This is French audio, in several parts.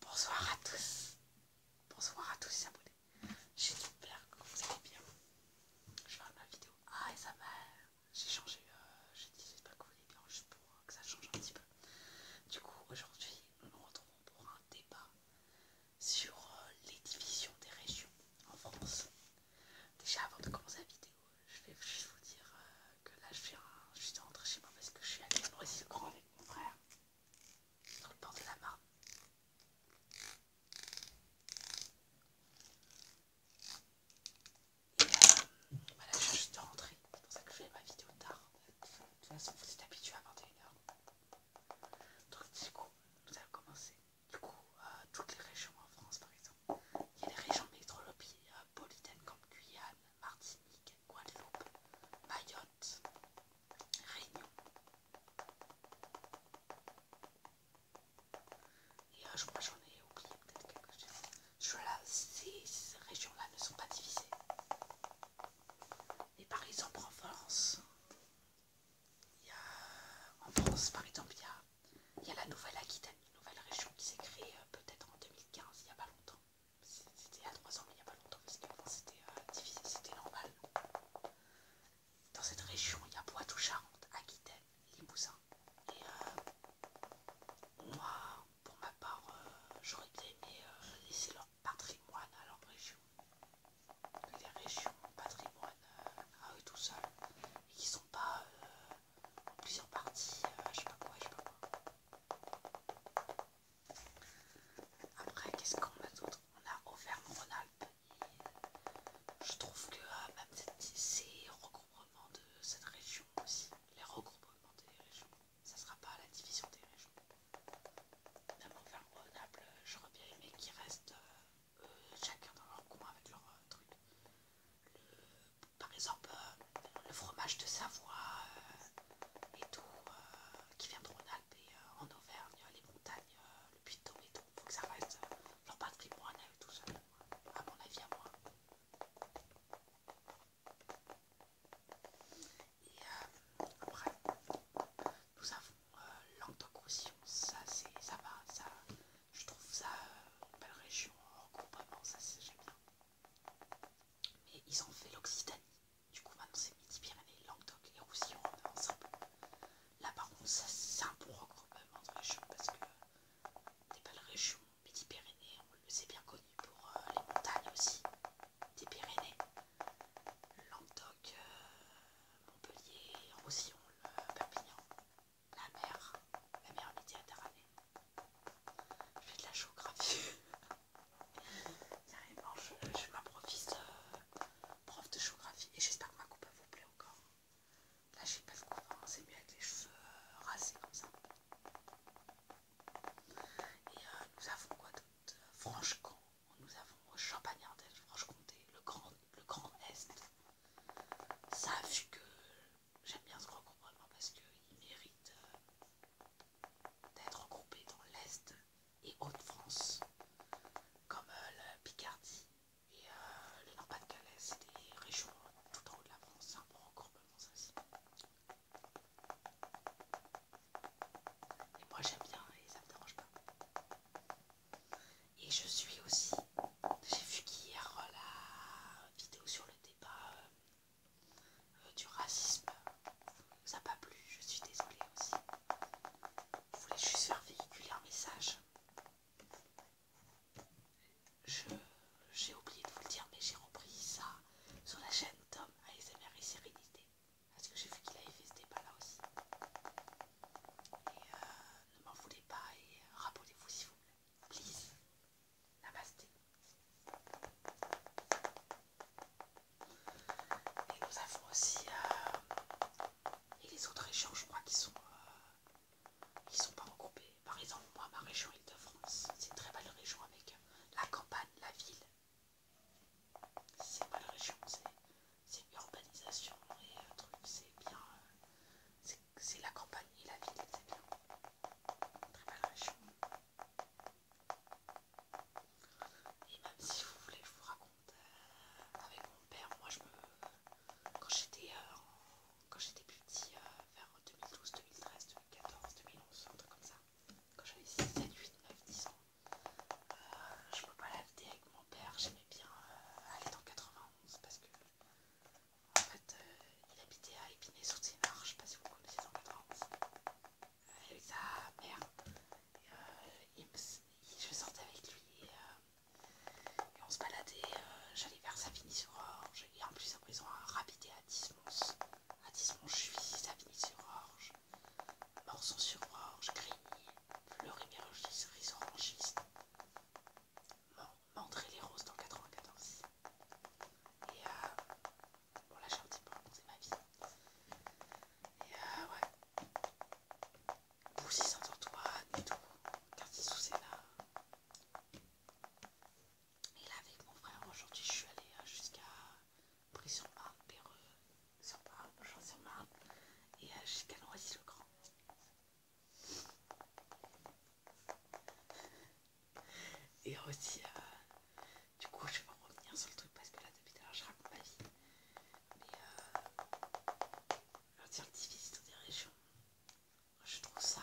Bonsoir à tous. Bonsoir à tous les abonnés. J'espère que vous allez bien. Je vais ma vidéo Ah et ça va, J'ai changé. Euh, j'ai dit j'espère que vous allez bien juste pour que ça change un petit peu. Du coup aujourd'hui nous nous retrouvons pour un débat sur euh, les divisions des régions en France. Déjà avant de commencer la vidéo je vais juste vous dire que là je, viens, je suis rentrée chez moi parce que je suis allée à de le grand avec mon frère, sur le port de la Marne. Et je suis juste rentrée, c'est pour ça que je fais ma vidéo tard. De toute façon, vous êtes habitués à une h Donc, du coup, nous allons commencer. Du coup, toutes les régions en France, par exemple, il y a les régions métropolitaines euh, comme Guyane, Martinique, Guadeloupe, Mayotte, Réunion. Et euh, je crois que j'en ai oublié peut-être quelque chose. ces régions-là ne sont pas divisées. Et par exemple en France, il y a, en France par exemple, il y a il y a la nouvelle Aquitaine, une nouvelle région qui s'est créée euh, peut-être en 2015, il n'y a pas longtemps. C'était il y a trois ans, mais il n'y a pas longtemps, parce que c'était euh, difficile, c'était normal. Dans cette région, il y a Poitou-Charentes, Aquitaine, Limousin. Et euh, moi, pour ma part, j'aurais bien aimé laisser leur patrimoine à leur région. Les régions patrimoine à eux tout seuls, et qui ne sont pas plusieurs parties, euh, je sais pas quoi, je sais pas quoi. Après, qu'est-ce qu'on a d'autre On a Auvergne-Rhône-Alpes. Je trouve que même euh, bah, ces regroupements de cette région aussi, les regroupements des régions, ça sera pas la division des régions. Même Auvergne-Rhône-Alpes, euh, je bien qu'il reste chacun dans leur coin avec leur euh, truc. par exemple, euh, le fromage de Savoie euh, et tout, qui vient en alpes et en Auvergne, les montagnes, le Puy-de-Dôme et Faut que ça reste leur patrimoine à tout seul, à mon avis, à moi. Et après, nous avons euh, ça ça ça, ça va, ça, je trouve ça une euh, belle région regroupement, ça ça j'aime bien. Mais ils ont fait l'Occitanie, du coup maintenant c'est Midi-Pyrénées, Languedoc et Roussillon ensemble. Là par contre, c'est un bon regroupement de régions parce que des belles régions, Midi-Pyrénées, on le sait bien connu pour euh, les montagnes aussi, des Pyrénées. Languedoc, euh, Montpellier, Roussillon, Perpignan, la mer, la mer Méditerranée. Je fais de la géographie. Carrément, je, je ma euh, prof de géographie et j'espère que ma coupe vous plaît encore. Là, j'ai pas de coupe, hein. c'est mieux avec les cheveux euh, rasés comme ça. Et euh, nous avons quoi d'autre franche nous avons Champagnardel, Franche-Comté, le grand, le grand Est. Ça, vu que j'aime bien ce regroupement parce qu'il mérite euh, d'être regroupé dans l'Est et Haute-France, comme le euh, la Picardie et euh, le Nord-Pas-de-Calais, c'est des régions tout en haut de la France, c'est un bon regroupement ça et moi j'aime bien et ça me dérange pas. Et je suis aussi, j'ai vu qu'hier euh, la vidéo sur le débat euh, euh, du racisme, ça n'a pas plu, je suis désolée aussi. Je voulais juste faire véhiculer un message. J'ai oublié de vous le dire, mais j'ai repris ça sur la chaîne Tom ASMR et Sérénité. Parce que j'ai vu qu'il avait fait ce débat là aussi. Et euh, ne m'en voulez pas et euh, rappelez-vous s'il vous plaît. Please. Namasté. Et nous avons aussi... Euh, et les autres régions, je crois, qui sont... sont pas regroupées. Par exemple, moi, ma région Île-de-France, c'est une très belle région avec la campagne, la ville, c'est pas la région, c'est l'urbanisation et un truc, c'est bien. c'est la campagne et la ville, c'est bien. Très belle région. Et même si vous voulez, je vous raconte euh, avec mon père, moi je me. Quand j'étais euh, petit, euh, vers 2012, 2013, 2014, 2011, un truc comme ça, quand j'avais 6, 7, 8, 9, 10 ans, euh, je peux pas l'habiter avec mon père, j'aimais bien euh, aller dans 91 parce que en fait euh, il habitait à épinay sur seine je sais pas si vous connaissez dans 91, avec sa mère. Et, je sortais avec lui et, on se baladait, j'allais vers Savigny-sur-Orge et en plus en prison ont un à 10 Indice Montjuïc, avigny sur Orge, Morson sur Orge, Grigny, Fleury-Mérogis, cerise orangiste, Mandré les roses dans 94. Et euh, bon, là un petit peu, c'est ma vie. Et euh, ouais. Boussy Saint-Antoine et tout, cartier sous Sénat. Et là, avec mon frère, aujourd'hui, je suis allée euh, jusqu'à sur marne Péreux, sur marne jean Jean-sur-Marne et euh, jusqu'à Noisy-le-Grand. Et aussi, euh, du coup, je vais revenir sur le truc parce que là, depuis tout à l'heure, je raconte ma vie. Mais euh, leur dire des régions, je trouve ça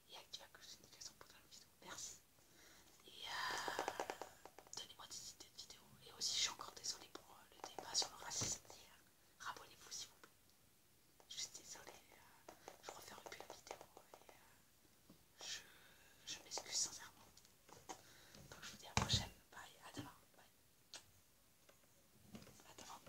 et active que j'ai une notification pour la vidéo. Merci. Et euh, donnez-moi des idées de vidéos. Et aussi, je suis encore désolée pour euh, le débat sur le racisme Rabonnez-vous s'il vous plaît. Je suis désolée, euh, Je ne referai plus la vidéo je, m'excuse sincèrement. Donc je vous dis à la prochaine. Bye, A demain. Bye. A demain.